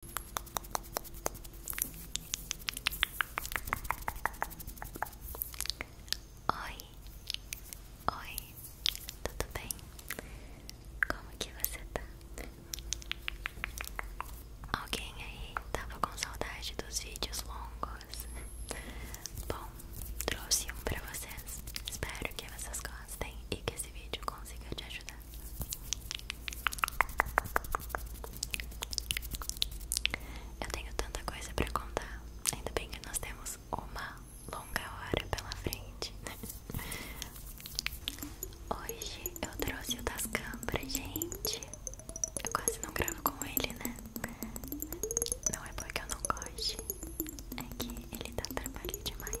Oi, oi, tudo bem? Como que você tá? Alguém aí tava com saudade dos vídeos longos? Bom, trouxe um pra vocês. Espero que vocês gostem e que esse vídeo consiga te ajudar. Eu tenho tanta coisa pra contar. Ainda bem que nós temos uma longa hora pela frente. Hoje eu trouxe o Tascam pra gente. Eu quase não gravo com ele, né? Não é porque eu não goste, é que ele tá trabalhando demais.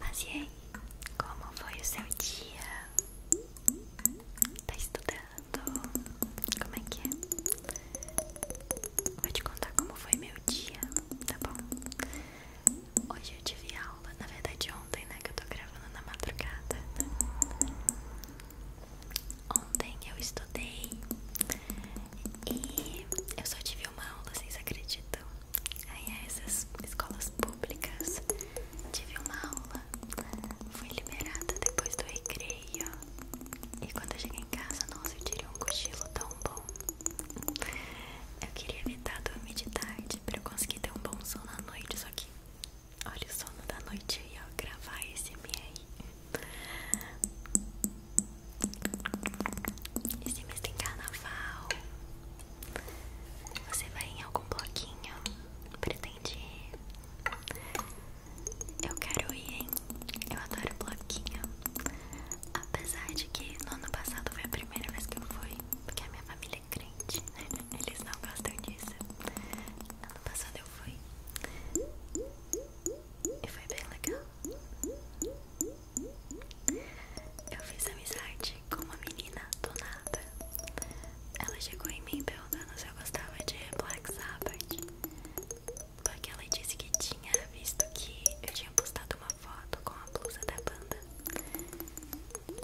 Mas e aí, como foi o seu dia? Tá estudando? Como é que é? Vou te contar como foi meu dia, tá bom? Hoje eu tive aula, na verdade ontem, né, que eu tô gravando na madrugada. Ontem eu estudei e eu só tive uma aula, vocês acreditam? Aí é essas escolas públicas, tive uma aula, fui liberada depois do recreio e quando eu cheguei em casa, nossa, eu tirei um cochilo tão bom. Eu queria evitar dormir de tarde, noite pra eu conseguir ter um bom sono à noite. Só que olha o sono da noite aí, ó. Gravar esse aí. Esse mês tem carnaval. Você vai em algum bloquinho? Pretende ir? Eu quero ir, hein? Eu adoro bloquinho. Apesar de que no ano passado foi a primeira vez que eu fui, porque a minha família ele é né? eles não gostam disso. Ano passado eu fui e foi bem legal. Eu fiz amizade com uma menina do nada. Ela chegou em mim perguntando se eu gostava de Black Sabbath. Porque ela disse que tinha visto que eu tinha postado uma foto com a blusa da banda.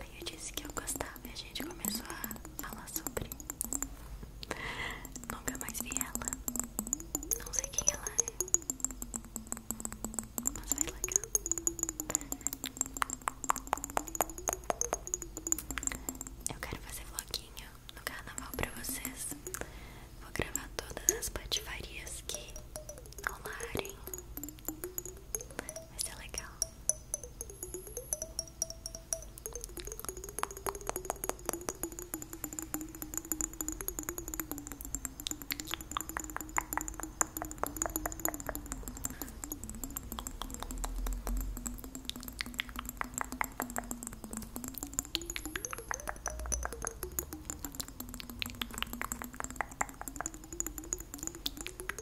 Aí eu disse que eu gostava e a gente começou a falar sobre. Nunca mais vi ela. Não sei quem ela é. Mas vai legal. Eu quero fazer vloguinho no carnaval pra vocês. Vou gravar todas as patifarias que rolarem. Vai ser legal.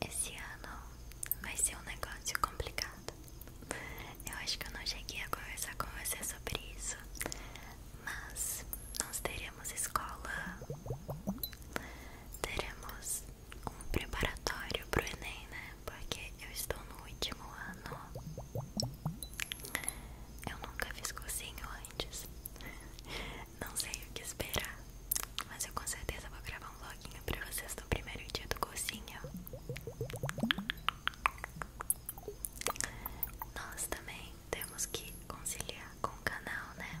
Esse ano vai ser um negócio complicado. Eu acho que eu não cheguei a conversar com você sobre isso, mas não teremos teremos escola, teremos um preparatório pro Enem, né? Porque eu estou no último ano. Eu nunca fiz cursinho antes. Não sei o que esperar, mas eu com certeza vou gravar um vloguinho pra vocês do primeiro dia do cursinho. Nós também temos que conciliar com o canal, né?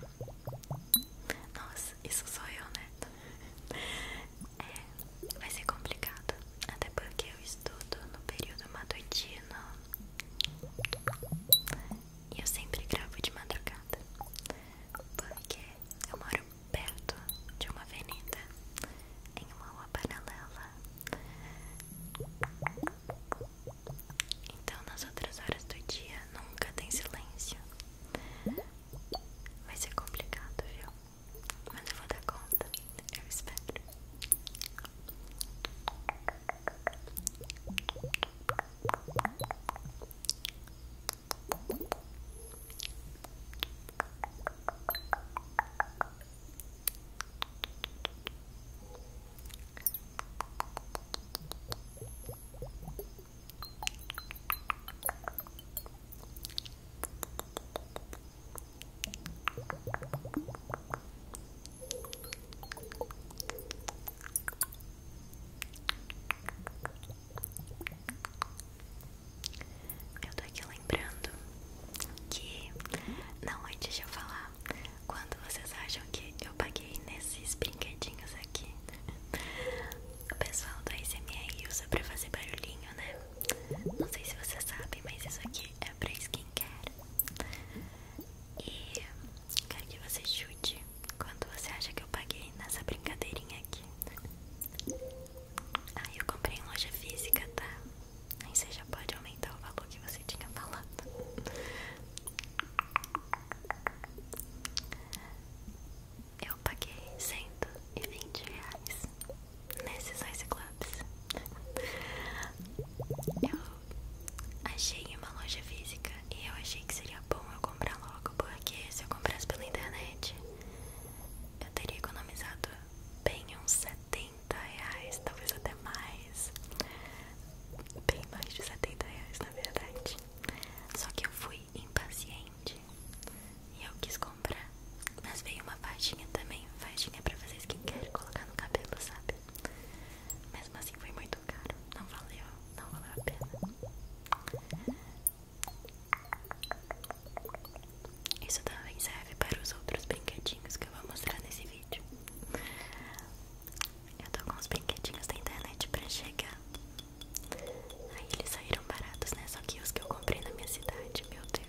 Nossa, isso sou eu, né? É, vai ser complicado. Até porque eu estudo no período matutino. E eu sempre gravo de madrugada. Porque eu moro perto de uma avenida. Em uma rua paralela. Então, nas outras horas do dia, nunca tem silêncio. Vai ser complicado, viu? Mas eu vou dar conta, eu espero. Eu tô aqui lembrando que não antes de eu falar quando vocês acham que eu paguei nesses brinquedinhos aqui? O pessoal do ASMR usa pra fazer barulhinho, né? Não sei se vocês sabem, mas isso aqui é pra skincare. E quero que você chute quando você acha que eu paguei nessa brincadeirinha aqui. Ah, eu comprei em loja física, tá? Aí você já pode aumentar o valor que você tinha falado. Eu paguei 120 reais nesses Ice Clubs. Eu achei uma loja física e eu achei que seria bom eu comprar logo, porque se eu comprasse pela internet, eu teria economizado bem uns 70 reais, talvez até mais bem mais de 70 reais na verdade. Só que eu fui impaciente e eu quis comprar. Mas veio uma faixinha também, faixinha pra vocês que querem colocar no cabelo, sabe? Mesmo assim foi muito caro, não valeu, não valeu a pena. Isso também serve para os outros brinquedinhos que eu vou mostrar nesse vídeo. Eu tô com uns brinquedinhos da internet pra chegar. Aí eles saíram baratos, né? Só que os que eu comprei na minha cidade, meu Deus.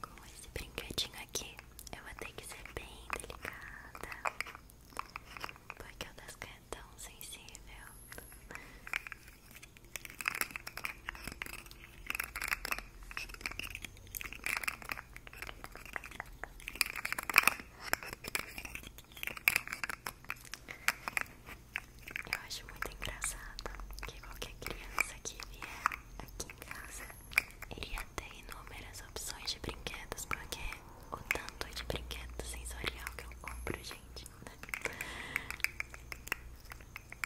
Com esse brinquedinho aqui, eu vou ter que ser bem delicada, porque o das é tão sensível. Eu acho muito engraçado que qualquer criança que vier aqui em casa iria ter inúmeras opções de brinquedos, porque o tanto de brinquedo sensorial que eu compro, gente.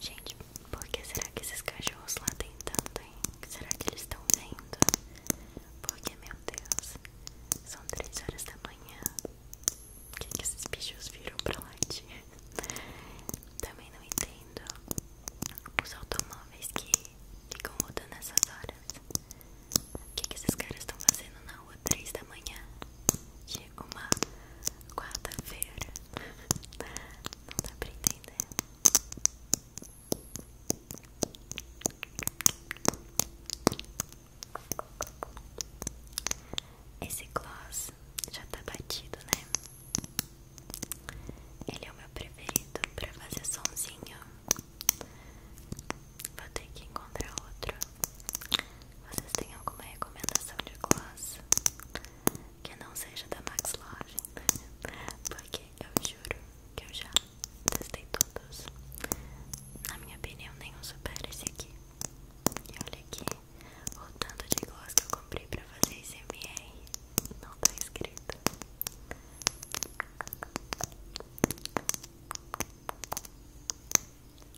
Gente, por que será que esses cachorros lá tem Será que eles estão vendo? Porque, meu Deus, são três horas da manhã. o que, que esses bichos viram pra lá de... Também não entendo os automóveis que ficam rodando essas horas. O que, que esses caras estão fazendo na rua três da manhã? de uma quarta-feira. Não dá pra entender. Esse gloss já tá batido, né? Ele é o meu preferido pra fazer sonzinho. Vou ter que encontrar outro. Vocês têm alguma recomendação de gloss que não seja da Max Porque eu juro que eu já testei todos. Na minha opinião, nenhum supera esse aqui. E olha aqui o tanto de gloss que eu comprei pra fazer esse MR. Não tá escrito.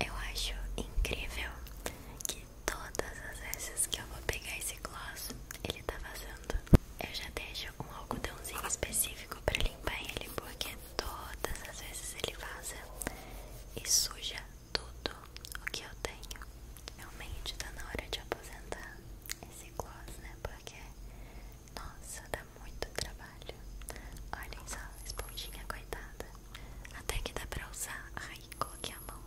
Eu acho incrível que todas as vezes que eu vou pegar esse gloss, ele tá vazando. Eu já deixo um algodãozinho específico pra limpar ele, porque todas as vezes ele vaza e suja tudo o que eu tenho. Realmente tá na hora de aposentar esse gloss, né? Porque nossa, dá muito trabalho. Olhem só, esponjinha coitada. Até que dá pra usar. Ai, coloquei a mão.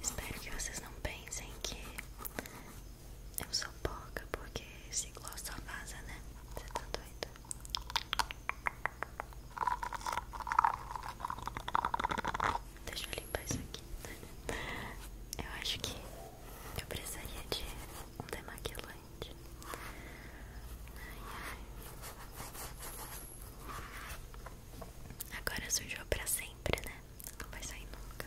Espero que vocês não pensem que eu sou pouca, porque esse gloss só vaza, né? Você tá doido? Deixa eu limpar isso aqui. Eu acho que eu precisaria de um demaquilante. Agora sujou pra sempre, né? Não vai sair nunca.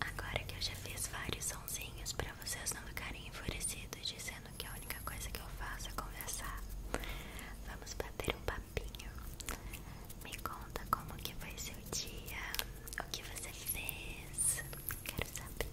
Agora que eu já fiz vários sonsinhos para vocês não ficarem enfurecidos dizendo que a única coisa que eu faço é conversar, vamos bater um papo me conta como que foi seu dia, o que você fez. Quero saber.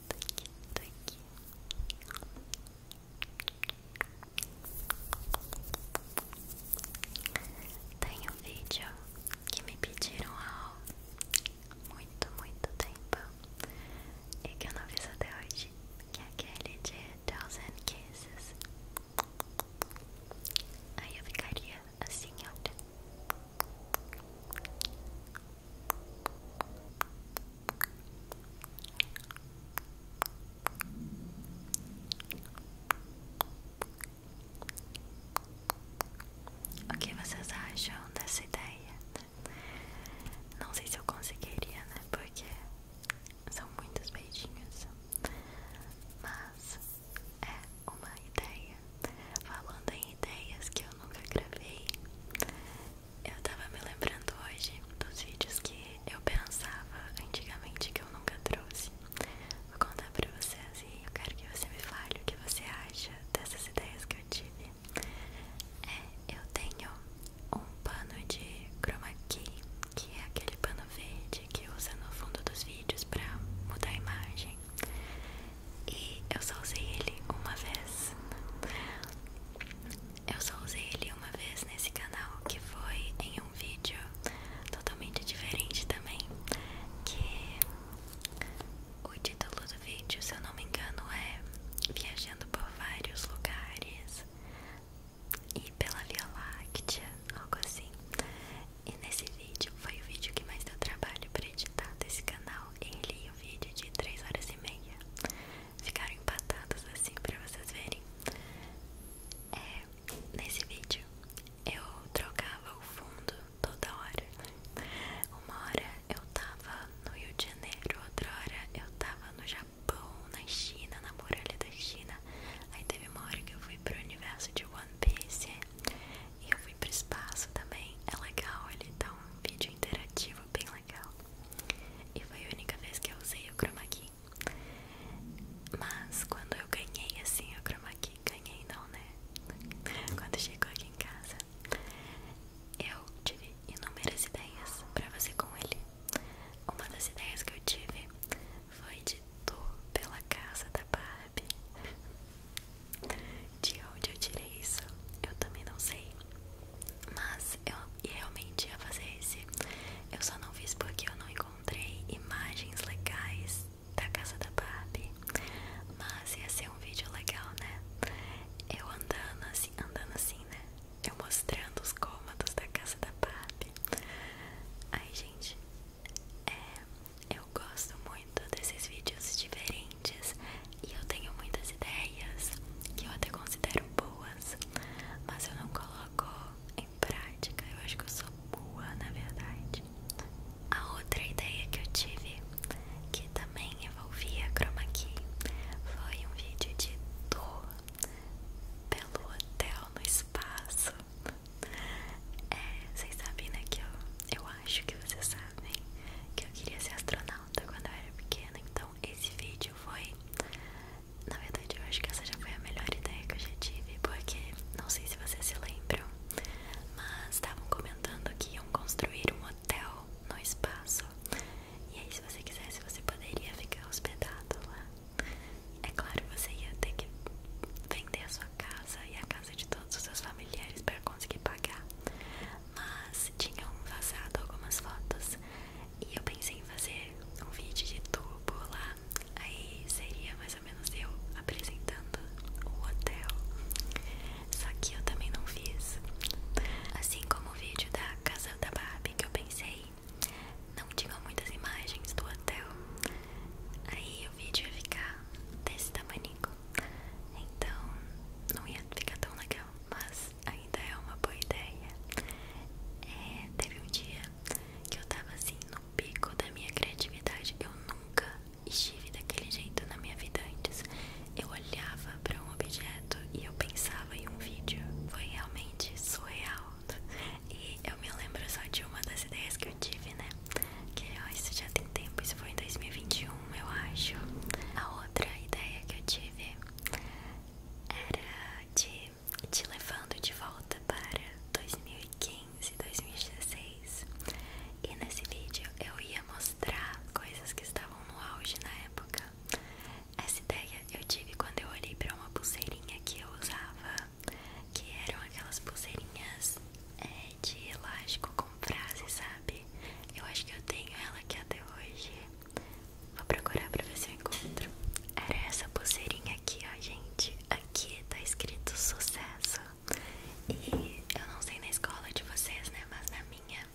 tô aqui, aqui. Tem um vídeo que me pediram há muito, muito tempo e que eu não fiz até hoje, que é aquele de Thousand Kisses. Aí eu ficaria assim, olha. O que vocês acham dessa ideia? Não sei se eu conseguiria, né? Porque são muitos beijinhos. Mas é uma ideia. Falando em ideias que eu nunca gravei, eu tava me lembrando hoje dos vídeos que eu pensava antigamente que eu nunca trouxe. Vou contar pra vocês e eu quero que você me fale o que você acha dessas ideias que eu tive. É, eu tenho um pano de chroma key, que é aquele pano verde que usa no fundo dos vídeos pra mudar a imagem. E eu só usei ele uma vez. Eu só usei ele uma vez nesse canal, que foi em um vídeo totalmente diferente também. Que o título do vídeo, se eu não me engano, é Viajando por vários lugares e pela Via Láctea, algo assim. E nesse vídeo foi o vídeo que mais deu trabalho para editar desse canal. em Ele aí vídeo de 3 horas e meia. Ficaram empatadas assim pra vocês verem. É, nesse vídeo eu trocava o fundo toda hora. Uma hora eu tava no Rio de Janeiro, outra hora eu tava no Japão, na China, na muralha da China. Aí teve uma hora que eu fui pro universo de One Piece. E eu fui pro espaço também. É legal, ele dá tá vídeo interativo bem legal. E foi a única vez que eu usei o chroma Mas quando eu ganhei assim o chroma ganhei não, né? Quando chegou aqui em casa, eu tive inúmeras ideias pra fazer com ele. Uma das ideias que eu tive foi de tu pela casa da Barbie. De onde eu tirei isso, eu também não sei. Mas eu realmente ia fazer esse. Eu só não fiz porque eu não encontrei imagens legais da casa da Barbie. Mas ia ser um vídeo legal, né? Eu andando assim, andando assim, né? Eu mostrando os cômodos da casa da Barbie. Ai, gente, é, eu gosto muito desses vídeos diferentes e eu tenho muitas ideias que eu até considero boas, mas eu não coloco em prática. Eu acho que eu sou boa, na verdade. A outra ideia que eu tive, que também envolvia chroma key, foi um vídeo de dor pelo hotel no espaço. É, vocês sabem, né, que eu, eu acho que vocês sabem que eu queria ser astronauta quando eu era pequena, então esse vídeo foi. Na verdade, eu acho que essa já foi a melhor ideia que eu já tive, porque não sei se vocês se lembram, mas estavam comentando que iam construir um hotel no espaço. E aí, se você quisesse, você poderia ficar hospedado lá. É claro, você ia ter que vender a sua casa e a casa de todos os seus familiares para conseguir pagar mas tinham vazado algumas fotos e eu pensei em fazer um vídeo de tubo lá, aí seria mais ou menos eu apresentando o hotel, só que eu também não fiz, assim como o vídeo da casa da Barbie que eu pensei, não tinham muitas imagens do hotel, aí o vídeo ia ficar desse tamanho, então não ia ficar tão legal mas ainda é uma boa ideia. É, teve um dia que eu tava assim no pico da minha criatividade. Eu nunca estive daquele jeito na minha vida antes. Eu olhava para um objeto e eu pensava em um vídeo. Foi realmente surreal. E eu me lembro só de uma das ideias que eu tive, né? Que ó, isso já tem tempo, isso foi em 2021, eu acho. A outra ideia que eu tive era de te levando de volta para 2015, 2016. E nesse vídeo eu ia mostrar coisas que estavam no auge na época. Essa ideia eu tive quando eu olhei para uma pulseirinha que eu usava, que eram aquelas pulseirinhas é, de elástico com frase, sabe? Eu acho que eu tenho ela aqui até hoje. Vou procurar pra ver se eu encontro. Era essa pulseirinha aqui, ó, gente. Aqui tá escrito sucesso. E eu não sei na escola de vocês, né? Mas na minha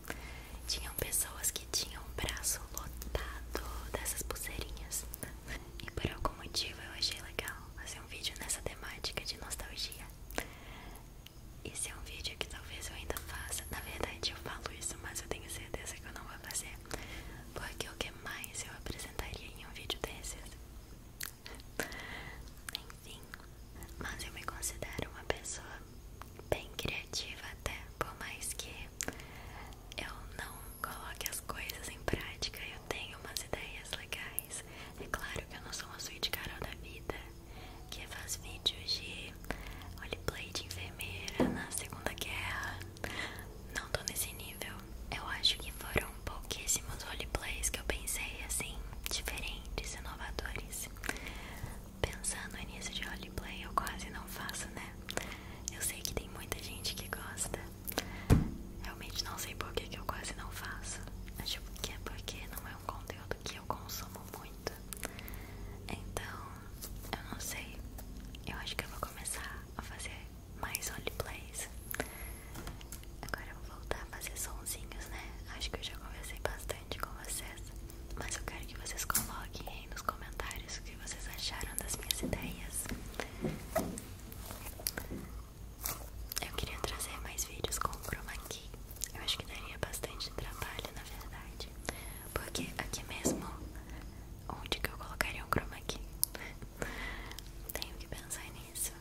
tinham pessoas que tinham um braço lotado dessas pulseirinhas. E por algum motivo eu achei legal fazer um vídeo nessa temática de nostalgia isso é um vídeo que talvez eu ainda faça. Na verdade, eu falo isso, mas eu tenho certeza que eu não vou fazer. Porque o que mais eu apresentaria em um vídeo desses? Enfim, mas eu me considero uma pessoa bem criativa, até por mais que eu não coloque as coisas em prática. Eu tenho umas ideias legais. É claro que eu não sou uma suíte Carol da vida que faz vídeos de roleplay de enfermeira na Segunda Guerra. Não tô nesse nível. Eu acho que foram pouquíssimos roleplays que eu pensei assim, diferentes, inovadores. Pensando nisso de roleplay, eu quase não faço, né? Eu sei que tem muita gente que gosta. Realmente não sei por que, que eu quase não faço. Acho que é porque não é um conteúdo que eu consumo muito. Então, eu não sei. Eu acho que eu vou começar a fazer mais roleplays. Agora eu vou voltar a fazer sonzinhos, né? Acho que eu já conversei bastante com vocês. Mas eu quero que vocês coloquem aí nos comentários o que vocês acharam das minhas ideias. Eu queria trazer mais vídeos com o key eu acho que daria bastante trabalho, na verdade. Porque aqui mesmo, onde que eu colocaria o chroma aqui Tenho que pensar nisso.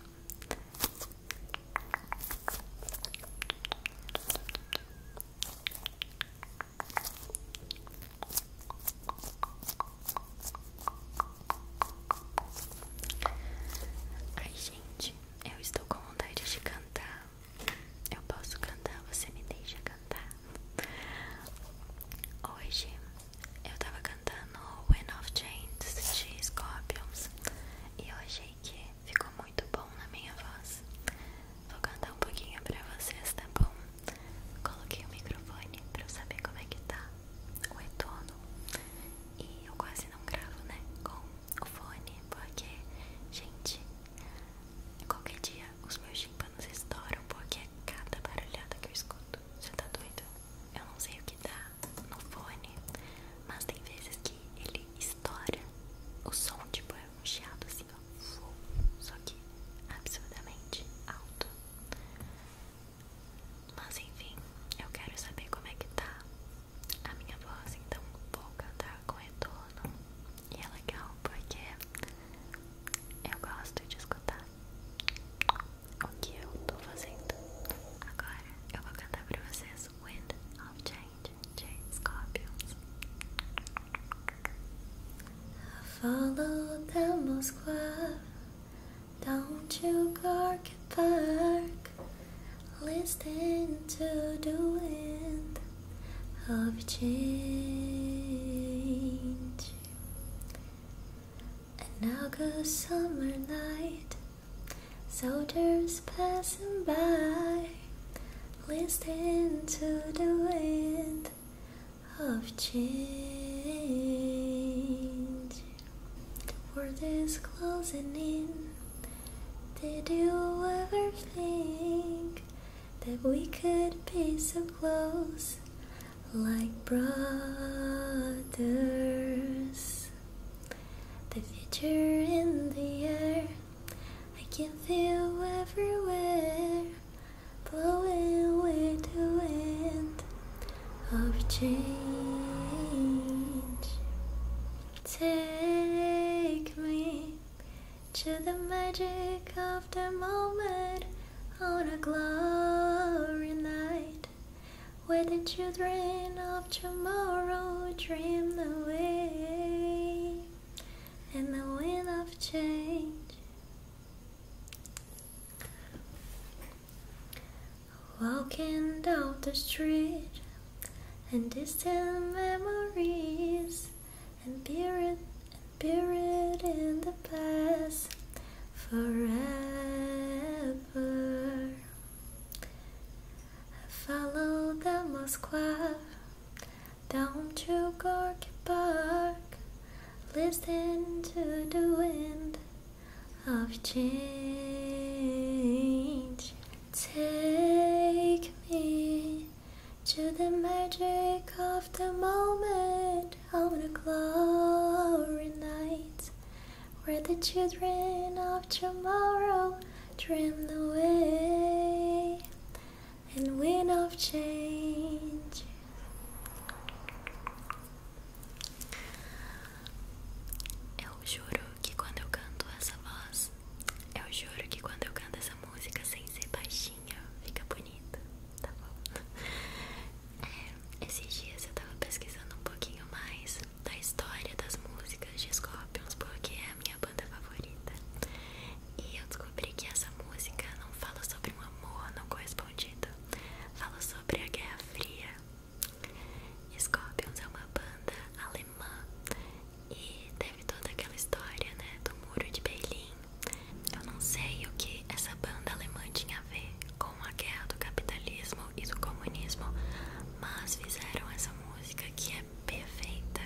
Ai, gente, eu estou com vontade de cantar eu posso cantar, você me deixa cantar. Hoje eu tava cantando When of Chains de Scorpions e eu achei que ficou muito bom na minha voz. Vou cantar um pouquinho pra vocês, tá bom? Coloquei o microfone pra eu saber como é que tá o retorno e eu quase não gravo, né? Com o fone, porque, gente, Qualquer dia os meus chimpanos estouram porque é cada barulhada que eu escuto. Você tá doido? Eu não sei o que dá tá no fone, mas tem vezes que ele estoura. O som, tipo, é um chiado assim, ó. Só que absurdamente alto. Mas enfim, eu quero saber como é que tá a minha voz, então vou cantar com retorno. E é legal porque eu gosto de escutar o que eu tô fazendo. Agora eu vou cantar pra vocês Wind of Change de Scorpions. Follow the Moscow down to Gorky Park. Listen to the wind of change. An August summer night, soldiers passing by. Listen to the wind of change. The world is closing in did you ever think that we could be so close, like brothers? The future in the air, I can feel everywhere, blowing with the wind of change. Take me to the magic of the moment on a glory night where the children of tomorrow dream the way, in the wind of change. Walking down the street and distant memories and buried and buried in the past forever. I follow the Moskva down to Gorky Park, listen to the wind of change. Take me to the magic of the moment of a glory night, where the children of tomorrow dream away and wind of change. eu juro que quando eu canto essa música sem ser baixinha, fica bonita, tá bom? É, esses dias eu tava pesquisando um pouquinho mais da história das músicas de Scorpions, porque é a minha banda favorita. E eu descobri que essa música não fala sobre um amor não correspondido, fala sobre a Guerra Fria. Scorpions é uma banda alemã e teve toda aquela história, né, do Muro de Berlim. Eu não sei o que essa banda alemã tinha a ver com a guerra do capitalismo e do comunismo, mas fizeram essa música que é perfeita.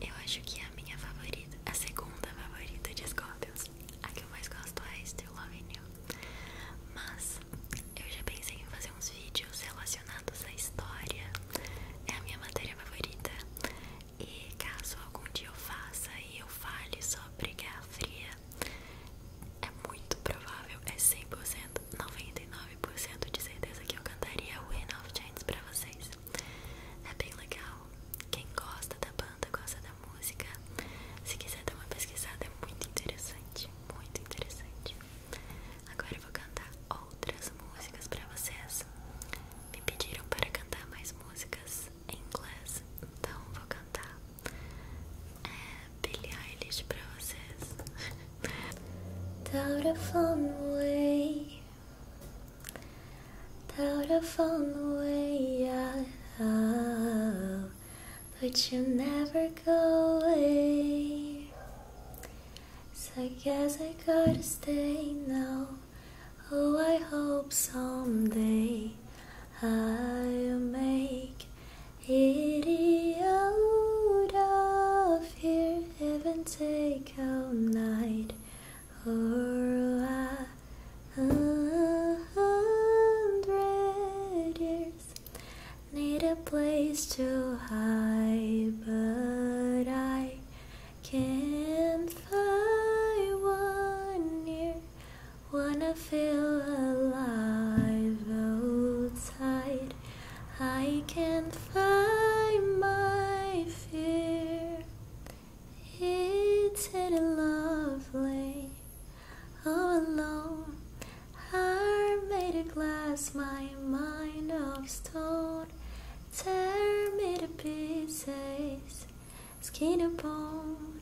Eu acho que é a minha favorita, a segunda favorita de Scorpions. A que eu mais gosto é Still Loving You. Mas eu já pensei em fazer uns vídeos relacionados à história. É a minha matéria favorita e caso algum dia eu faça e eu fale sobre Guerra Fria, é muito provável, é 100%, 99% de certeza que eu cantaria o of Chains pra vocês. É bem legal. Quem gosta da banda, gosta da música. Se quiser dar uma pesquisada, é muito interessante. Muito interessante. Agora eu vou cantar outras músicas para vocês. Me pediram para cantar mais músicas em inglês, então vou cantar é, Billie Eilish para vocês. Doubt I've fallen away. Doubt I've fallen away. Oh, but you never go away. So I guess I gotta stay now. Oh, I hope someday I'll make it out of here, Heaven take all night or a hundred years. Need a place to hide, but I can't find one near, wanna feel alive outside. I can't find my fear. It's in a lovely, all alone. I made a glass, my mind of stone. Tear me to pieces, skin and bone.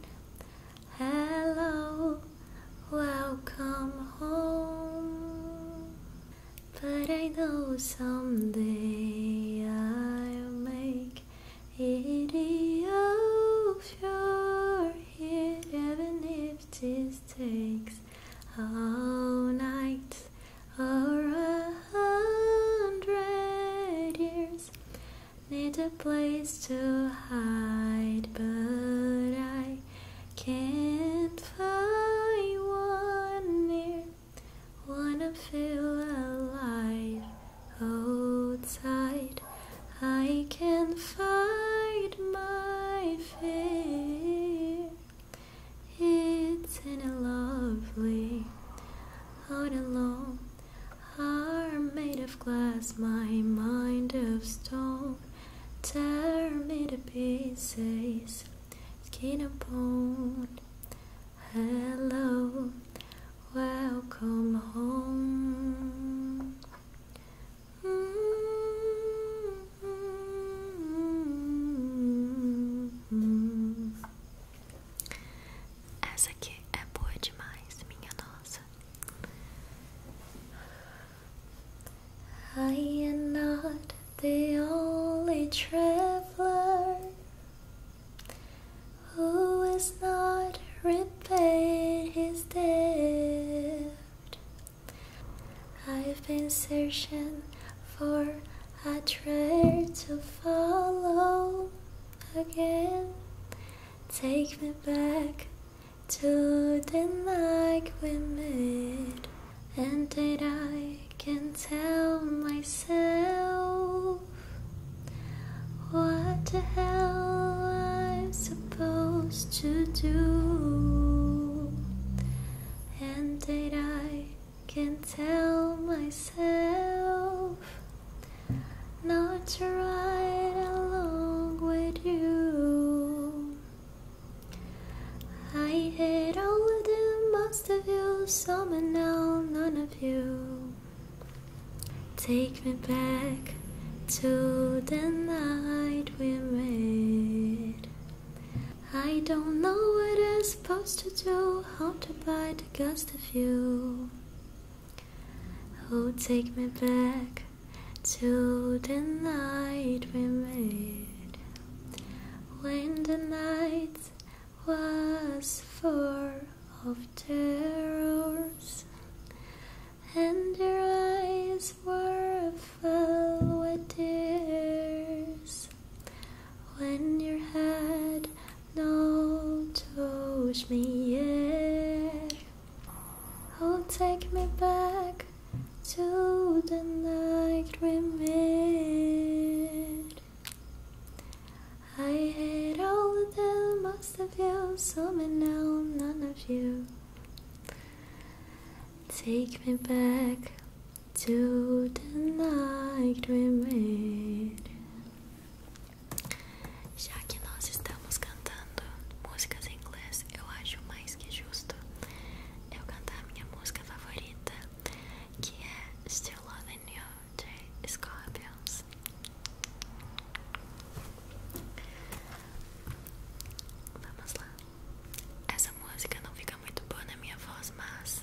Hello, welcome home. But I know someday I'll make it of your head, even if this takes all night or a hundred years. Need a place to hide, but I can't find one near. Wanna feel alive outside. I can not find my fear. It's in a lovely out alone. Heart made of glass, my mind of stone. Tear me to pieces, skin and bone. Hello, welcome home. Hum. Essa aqui é I am not the only traveler who has not repaid his debt. I've been searching for I try to follow again. Take me back to the night we met, and did I can tell myself what the hell I'm supposed to do, and did I can tell myself not to ride along with you. I hit all of them, most of you, some and now none of you. Take me back to the night we made. I don't know what I'm supposed to do, how to buy the ghost of you. Oh, take me back to the night we made, when the night was full of terrors, and your eyes were filled with tears when your head now touch me yeah oh take me back to the night we met I hate all of them most of you some and now none of you take me back to the night we Já que nós estamos cantando músicas em inglês, eu acho mais que justo eu cantar minha música favorita, que é Still Loving You de Scorpions. Vamos lá. Essa música não fica muito boa na minha voz, mas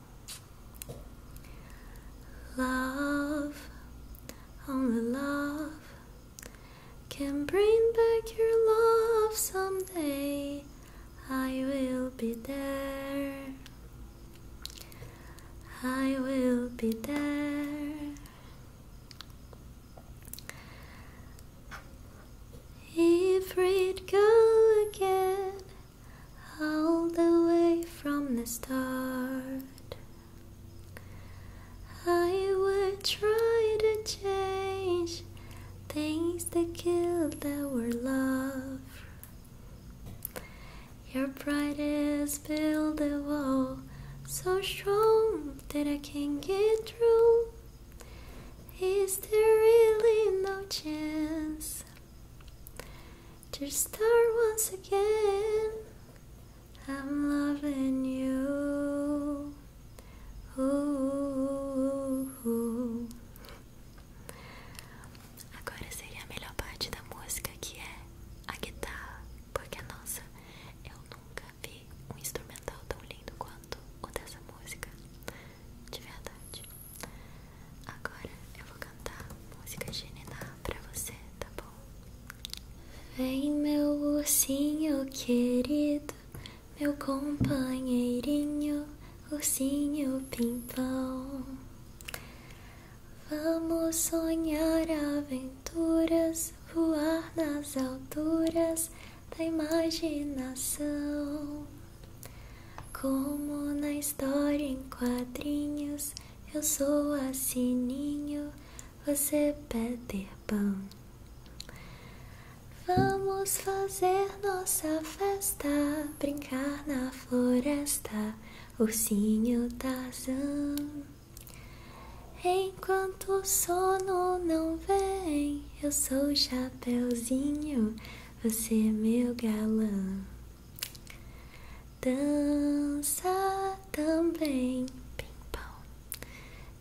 Love, only love can bring back your love someday. I will be there. I will be there. If it go again all the way from the start. I would try to change things that killed our love. Your pride brightest built a wall so strong that I can't get through. Is there really no chance? to start once again. I'm loving you. Agora seria a melhor parte da música que é a guitarra, porque nossa, eu nunca vi um instrumental tão lindo quanto o dessa música, de verdade. Agora eu vou cantar música de Niná pra você, tá bom? Vem meu ursinho querido, meu companheirinho, ursinho pimpão. Vamos sonhar aventuras, voar nas alturas da imaginação. Como na história em quadrinhos, eu sou assininho, você pede pão. Vamos fazer nossa festa, brincar na floresta, ursinho Tarzan. Enquanto o sono não vem, eu sou o Chapeuzinho, você é meu galã. Dança também, pimpão,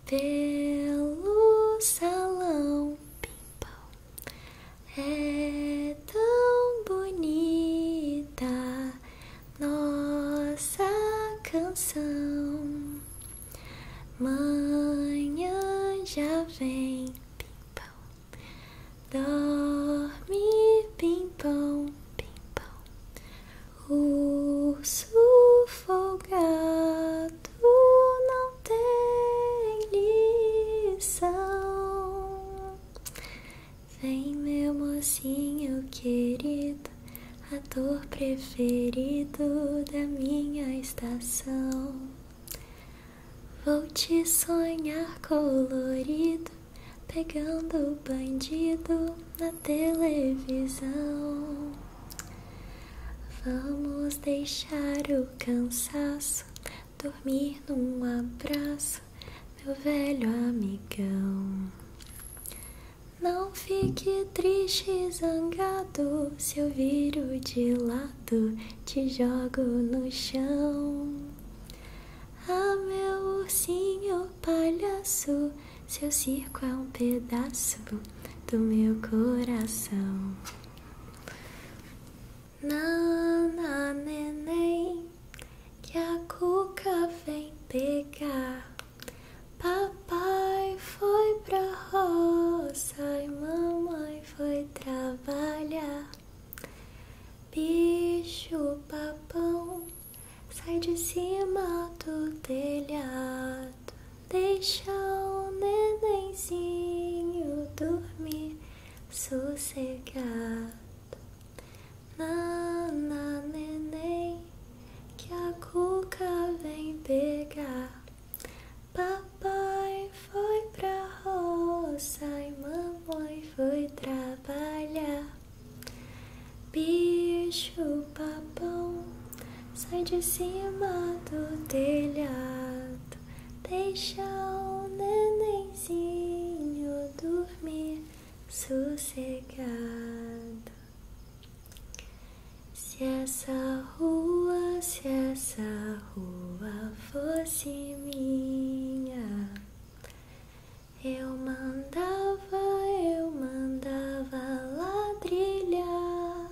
pelo salão, pimpão. É tão bonita nossa canção. Manhã já vem, pimpão. Dorme, pimpão, pimpão. Urso folgado não tem lição. Vem, meu mocinho querido, ator preferido da minha estação. Vou te sonhar colorido pegando bandido na televisão. Vamos deixar o cansaço dormir num abraço, meu velho amigão. Não fique triste, zangado, se eu viro de lado, te jogo no chão. Ah, meu ursinho palhaço, seu circo é um pedaço do meu coração. Nana, neném, que a cuca vem pegar. Papai foi pra roça e mamãe foi trabalhar. Bicho papão, sai de cima do telhado, deixa o nenenzinho dormir sossegado. Nana neném, que a cuca vem pegar. Papai foi pra roça e mamãe foi trabalhar. Bicho papão, sai de cima do telhado, deixa o nenenzinho dormir sossegado. Se essa rua, se essa rua fosse minha. Eu mandava, eu mandava ladrilhar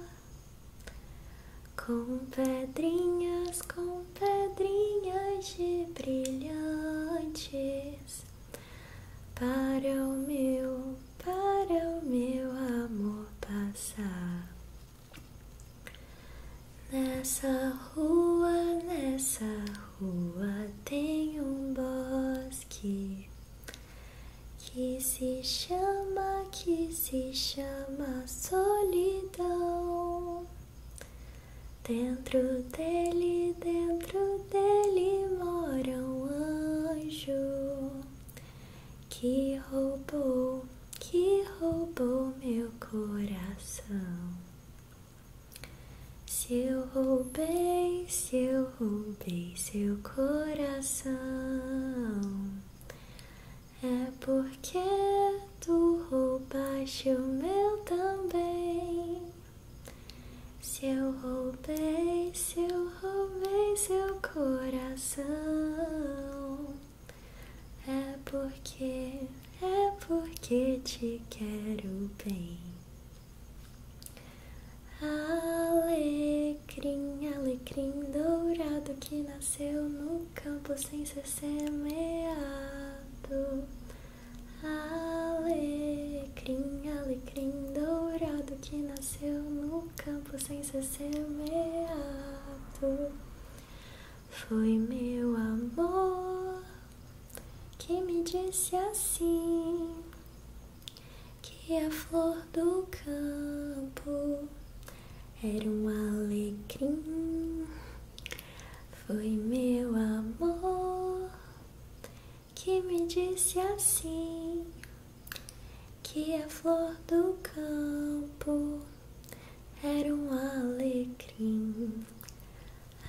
com pedrinhas, com pedrinhas de brilhantes para o meu, para o meu amor passar nessa rua, nessa rua rua tem um bosque que se chama, que se chama solidão. Dentro dele, dentro dele mora um anjo que roubou, que roubou meu coração. Se eu roubei, se eu roubei seu coração, é porque tu roubaste o meu também. Se eu roubei, se eu roubei seu coração, é porque, é porque te quero bem. Alecrim, alecrim dourado que nasceu no campo sem ser semeado. Alecrim, alecrim dourado que nasceu no campo sem ser semeado. Foi meu amor que me disse assim que a flor do campo era um alecrim. Foi meu amor que me disse assim que a flor do campo era um alecrim.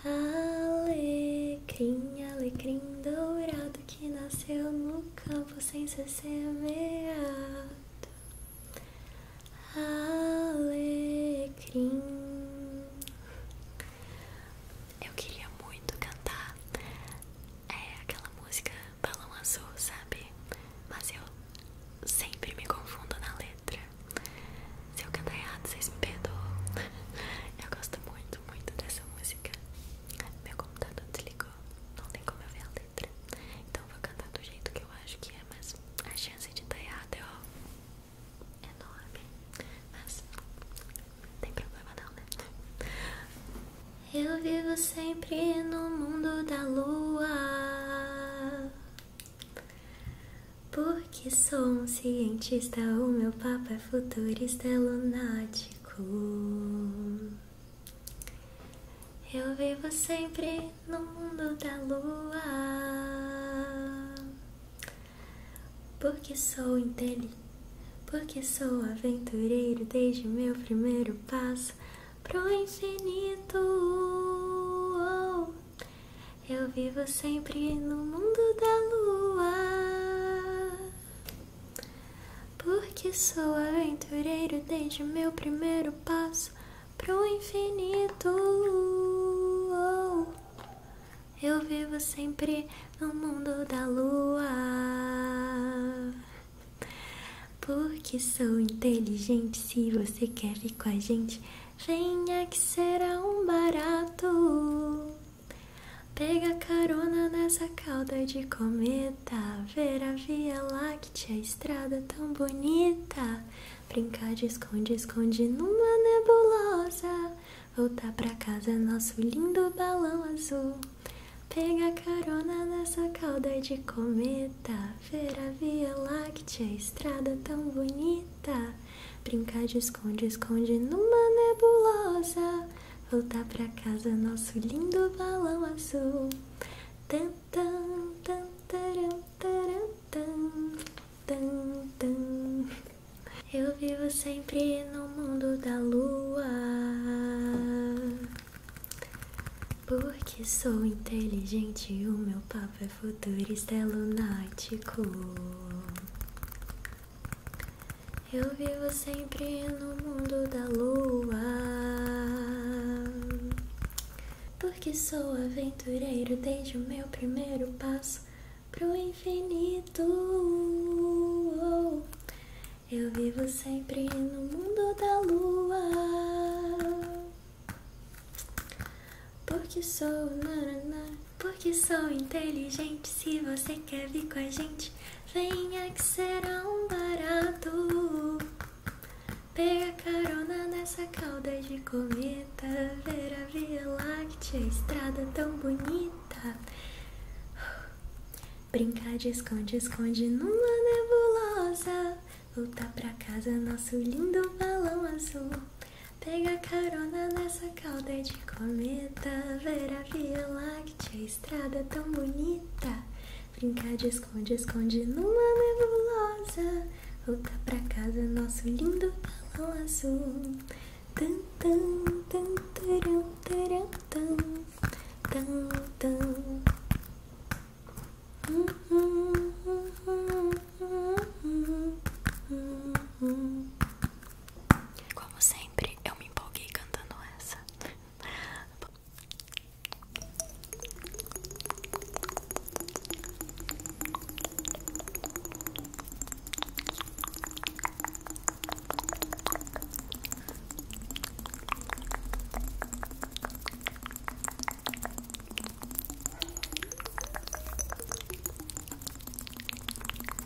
Alecrim, alecrim dourado que nasceu no campo sem ser semeado. Alecrim. Eu queria muito cantar é, aquela música Balão Azul, sabe? Mas eu sempre me confundo na letra. Se eu cantar tá errado, vocês me perdoam. Eu gosto muito, muito dessa música. Meu computador desligou, não tem como eu ver a letra. Então eu vou cantar do jeito que eu acho que é, mas a chance de estar tá errado é ó, enorme. Mas não tem problema não, né? Eu vivo sempre no mundo da lua. Porque sou um cientista, o meu papo é futurista é lunático. Eu vivo sempre no mundo da lua. Porque sou inteligente, porque sou aventureiro desde meu primeiro passo pro infinito. Eu vivo sempre no mundo da lua. Porque sou aventureiro desde meu primeiro passo para o infinito. Eu vivo sempre no mundo da lua. Porque sou inteligente, se você quer vir com a gente. Venha que será um barato. Pega carona nessa cauda de cometa. Ver a Via Láctea, a estrada tão bonita. Brincar de esconde, esconde numa nebulosa. Voltar pra casa é nosso lindo balão azul. Pega carona nessa cauda de cometa. Ver a Via Láctea, a estrada tão bonita. Brincar de esconde, esconde numa nebulosa. Voltar pra casa, nosso lindo balão azul. Tan, tan, tan, taram, taram, tan, tan, tan. Eu vivo sempre no mundo da lua. Porque sou inteligente, o meu papo é futurista é lunático. Eu vivo sempre no mundo da lua. Porque sou aventureiro desde o meu primeiro passo pro infinito. Eu vivo sempre no mundo da lua. Porque sou nanana, porque sou inteligente. Se você quer vir com a gente, venha que será um barato. Pega carona nessa cauda de cometa, ver a Via Láctea, estrada tão bonita. Brincar de esconde, esconde numa nebulosa. Voltar pra casa, nosso lindo balão azul. Pega carona nessa calda de cometa, ver a Via Láctea, a estrada é tão bonita. Brincar de esconde, esconde numa nebulosa. Voltar pra casa, nosso lindo balão azul. Tan, tan, tan, tan taran, tan, tan, tan. Hum, hum, hum, hum, hum, hum, hum. Como sempre, eu me empolguei cantando essa.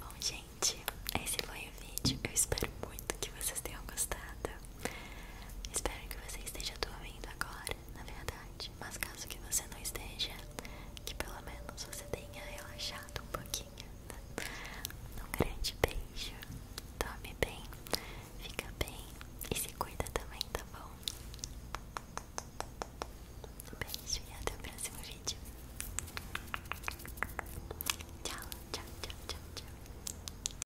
Bom, gente, esse foi o vídeo. Eu espero muito que vocês tenham gostado. Espero que você esteja dormindo agora, na verdade. Mas caso que você não esteja, que pelo menos você tenha relaxado um pouquinho. Tá? Um grande beijo. Dorme bem, fica bem e se cuida também, tá bom? Um beijo e até o próximo vídeo. Tchau, tchau, tchau, tchau, tchau.